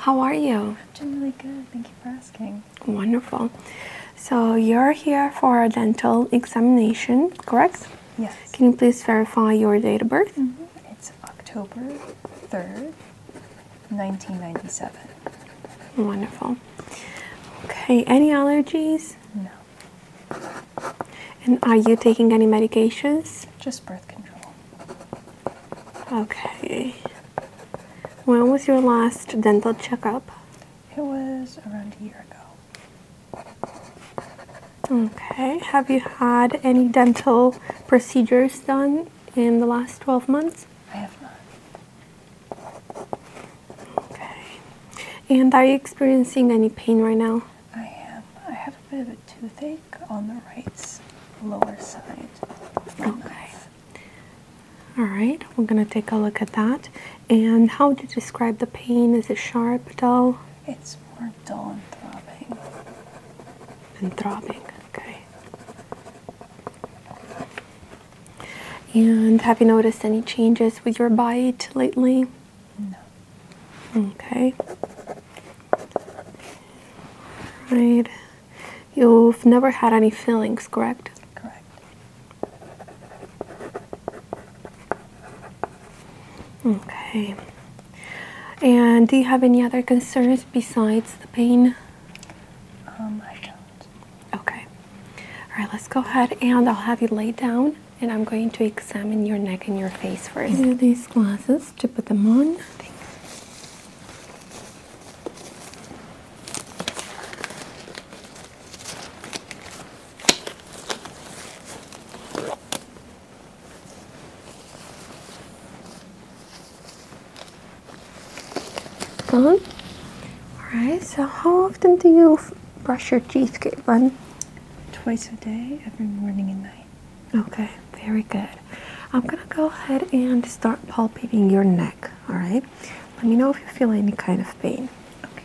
How are you? I'm doing really good. Thank you for asking. Wonderful. So you're here for a dental examination, correct? Yes. Can you please verify your date of birth? Mm-hmm. It's October 3rd, 1997. Wonderful. Okay, any allergies? No. And are you taking any medications? Just birth control. Okay. When was your last dental checkup? It was around a year ago. Okay. Have you had any dental procedures done in the last 12 months? I have not. Okay. And are you experiencing any pain right now? I am. I have a bit of a toothache on the right lower side. Okay. All right. We're going to take a look at that. And how would you describe the pain? Is it sharp, dull? It's more dull and throbbing. And throbbing. Okay. And have you noticed any changes with your bite lately? No. Okay. Right. You've never had any fillings, correct? Correct. Okay. And do you have any other concerns besides the pain? Um, I don't. Okay. All right, let's go ahead and I'll have you laid down and I'm going to examine your neck and your face first. Do you these glasses to put them on. Thanks. Done. All right. So, how often do you brush your teeth, Caitlin? Twice a day, every morning and night. Okay, very good. I'm gonna go ahead and start palpating your neck, all right? Let me know if you feel any kind of pain. Okay.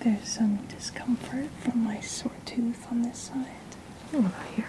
There's some discomfort from my sore tooth on this side. What oh, here?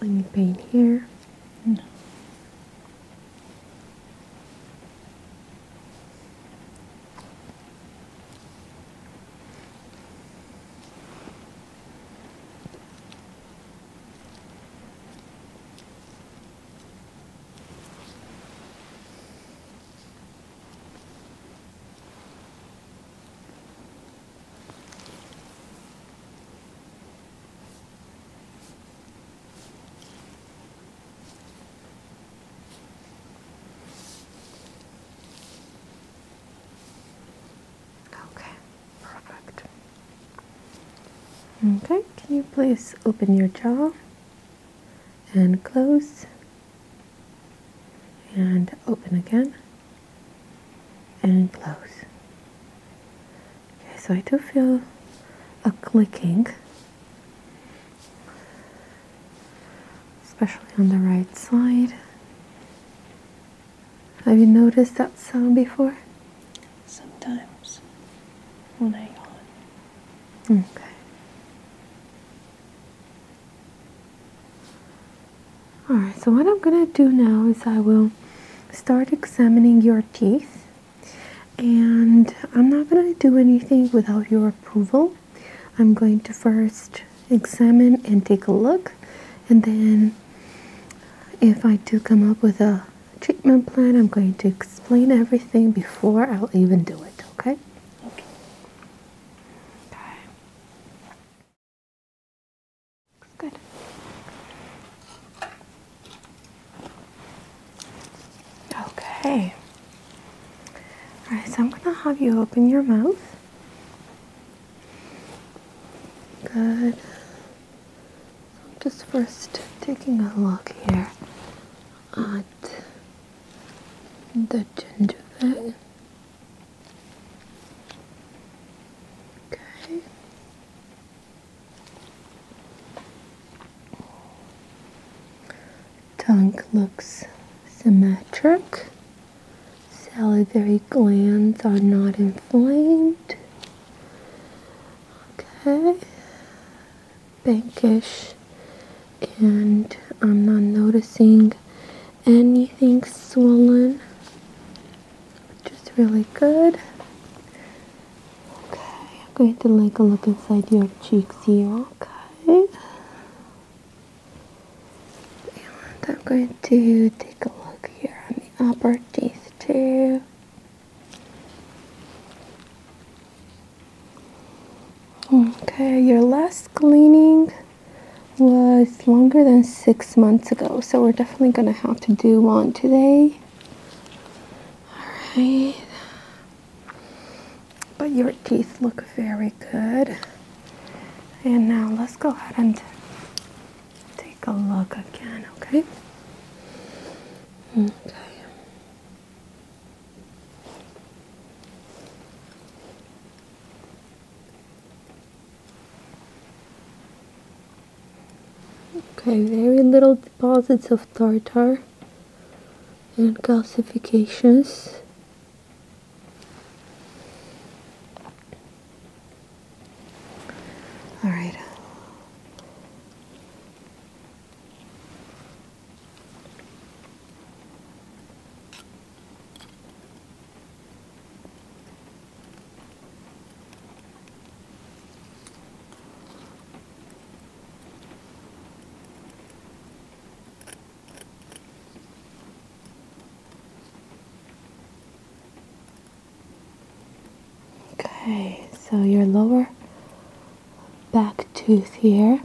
Let me paint here? Okay, perfect. Okay, can you please open your jaw and close and open again and close. Okay, so I do feel a clicking, especially on the right side. Have you noticed that sound before? Sometimes when I yawn. Okay. Alright, so what I'm going to do now is I will start examining your teeth. And I'm not going to do anything without your approval. I'm going to first examine and take a look. And then if I do come up with a treatment plan, I'm going to explain everything before I'll even do it, okay? Okay. okay. Good. Okay. All right, so I'm going to have you open your mouth. Good. So I'm just first taking a look here at the gingiva. Okay. Tongue looks symmetric. Salivary glands are not inflamed. Okay. Bankish. And I'm not noticing anything swollen just really good. Okay, I'm going to like a look inside your cheeks here. Okay. I'm going to take a look here on the upper teeth too. Okay, your last cleaning was longer than six months ago, so we're definitely going to have to do one today. Alright. But your teeth look very good. And now let's go ahead and take a look again, okay? Okay. Okay, very little deposits of tartar and calcifications. All right. Okay, so your lower back tooth here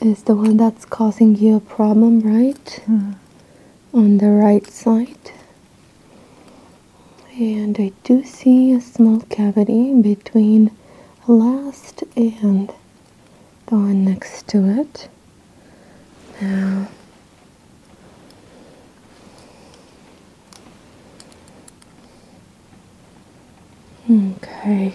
is the one that's causing you a problem, right? Hmm. On the right side. And I do see a small cavity between the last and the one next to it. Now, okay.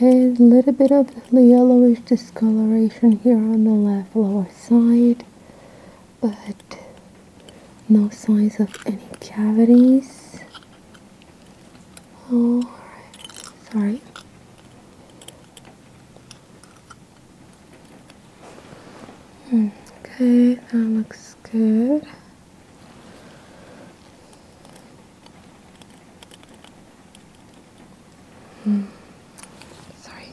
a little bit of yellowish discoloration here on the left lower side but no signs of any cavities Oh, sorry hmm, okay that looks good Mm. Sorry.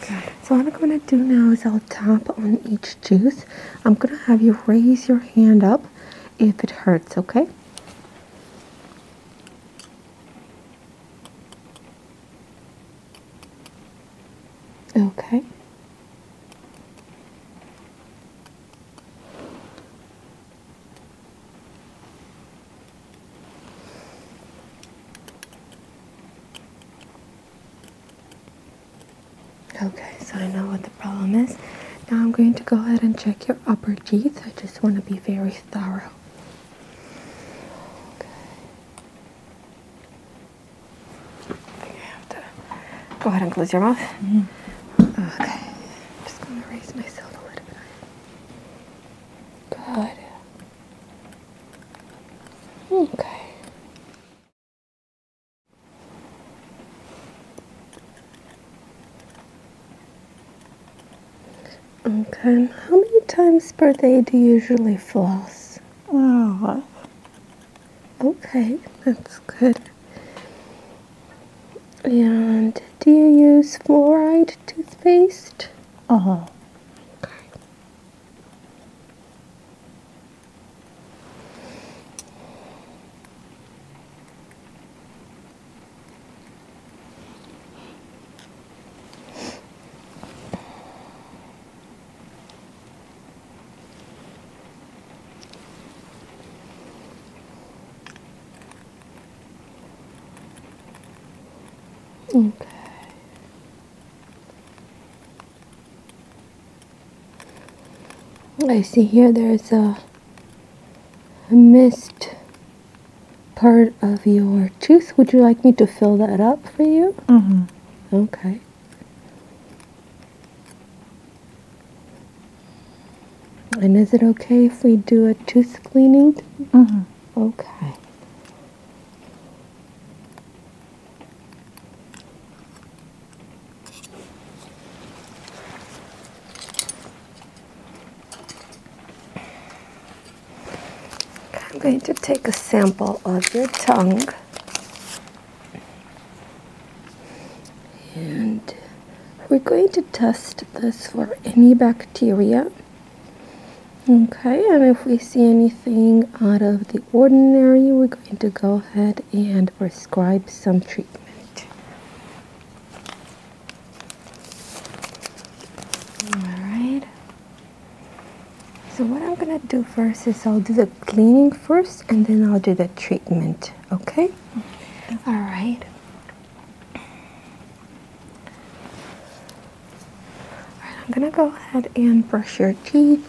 Okay. okay. So what I'm going to do now is I'll tap on each juice. I'm going to have you raise your hand up if it hurts, okay? Okay. Okay, so I know what the problem is. Now I'm going to go ahead and check your upper teeth. I just want to be very thorough. I think I have to go ahead and close your mouth. Mm-hmm. Okay. just going to raise myself a little bit. Good. Okay. Okay. How many times per day do you usually floss? Oh. Okay, that's good. And do you use fluoride toothpaste? Uh Okay. I see here there's a mist part of your tooth. Would you like me to fill that up for you? Mm-hmm. Okay. And is it okay if we do a tooth cleaning? Mm-hmm. Okay. I'm going to take a sample of your tongue and we're going to test this for any bacteria okay and if we see anything out of the ordinary we're going to go ahead and prescribe some treatment Alright. So what I'm gonna do first is I'll do the cleaning first and then I'll do the treatment. Okay? Alright. Alright, I'm gonna go ahead and brush your teeth.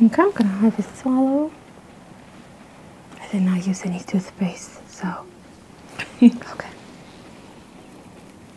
Okay, I'm gonna have harvest swallow. I did not use any toothpaste, so okay.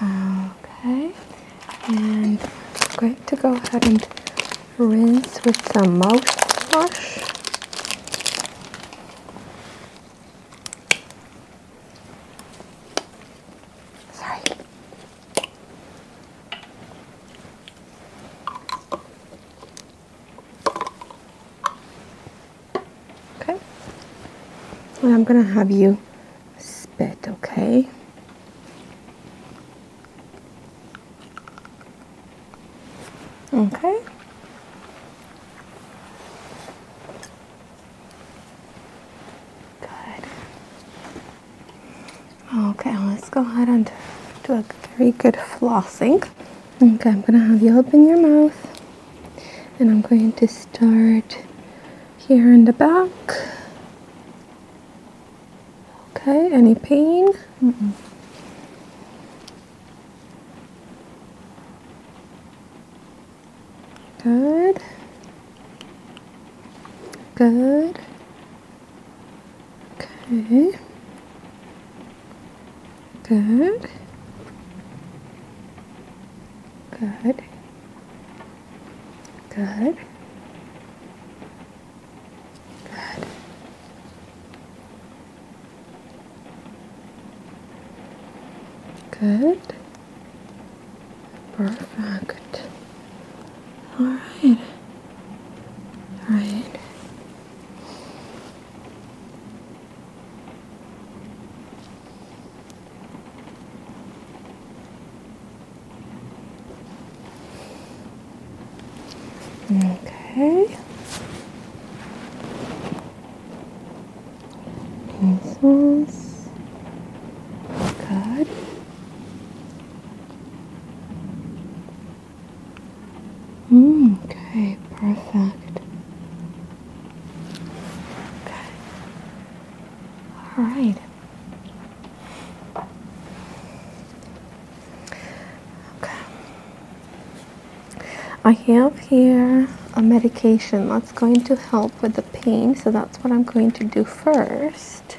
Okay, and I'm going to go ahead and rinse with some mouthwash. Sorry. Okay. I'm going to have you spit, okay? Okay. Good. Okay, let's go ahead and do a very good flossing. Okay, I'm gonna have you open your mouth and I'm going to start here in the back. Okay, any pain? Mm hmm Good. Good. Okay. Good. Good. Good. Good. Good. Perfect. All right. All right. Okay. Good. Mm, okay, perfect. Okay. All right. Okay. I have here a medication that's going to help with the pain, so that's what I'm going to do first.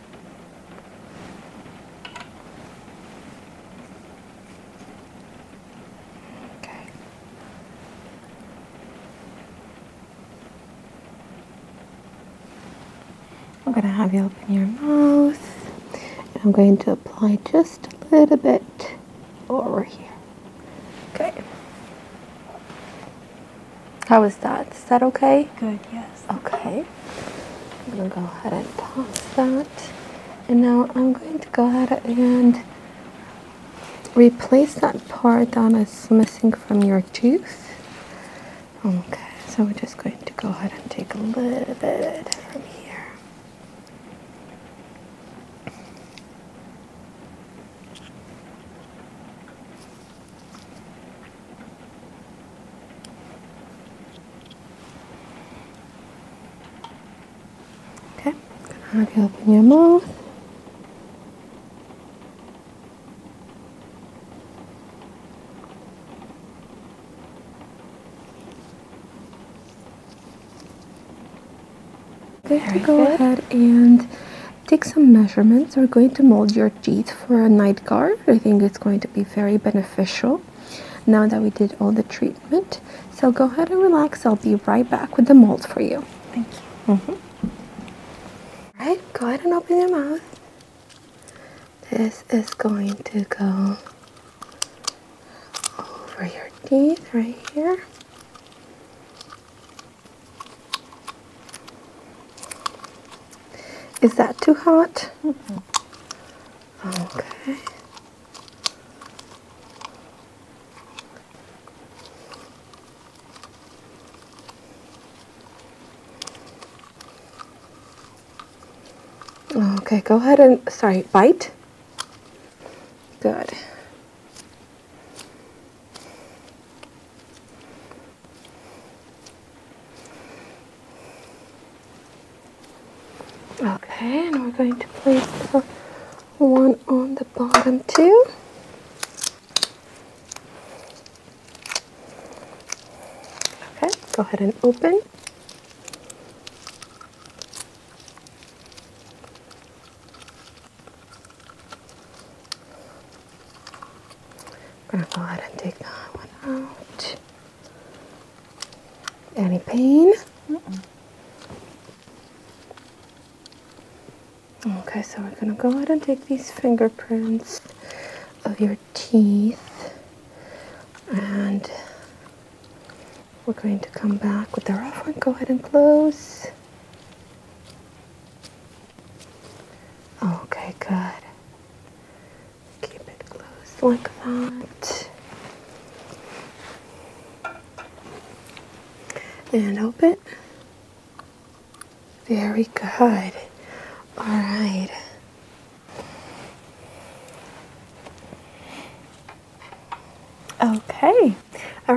Okay. I'm going to have you open your mouth. And I'm going to apply just a little bit over here. Okay. How is that? Is that okay? Good, yes. Okay, I'm gonna go ahead and toss that. And now I'm going to go ahead and replace that part that is missing from your tooth. Okay, so we're just going to go ahead and take a little bit from here. Okay, I'm gonna have you open your mouth. Okay, Very go ahead and take some measurements. We're going to mold your teeth for a night guard. I think it's going to be very beneficial. Now that we did all the treatment, so go ahead and relax. I'll be right back with the mold for you. Thank you. Mm All right, go ahead and open your mouth. This is going to go over your teeth right here. Is that too hot? Okay. Okay, go ahead and, sorry, bite. Good. Okay, and we're going to place the one on the bottom too. Okay, go ahead and open. go ahead and take that one out. Any pain? Okay, so we're gonna go ahead and take these fingerprints of your teeth and we're going to come back with the rough one. Go ahead and close. Okay, good keep it closed like that. And open. Very good. All right. Okay. All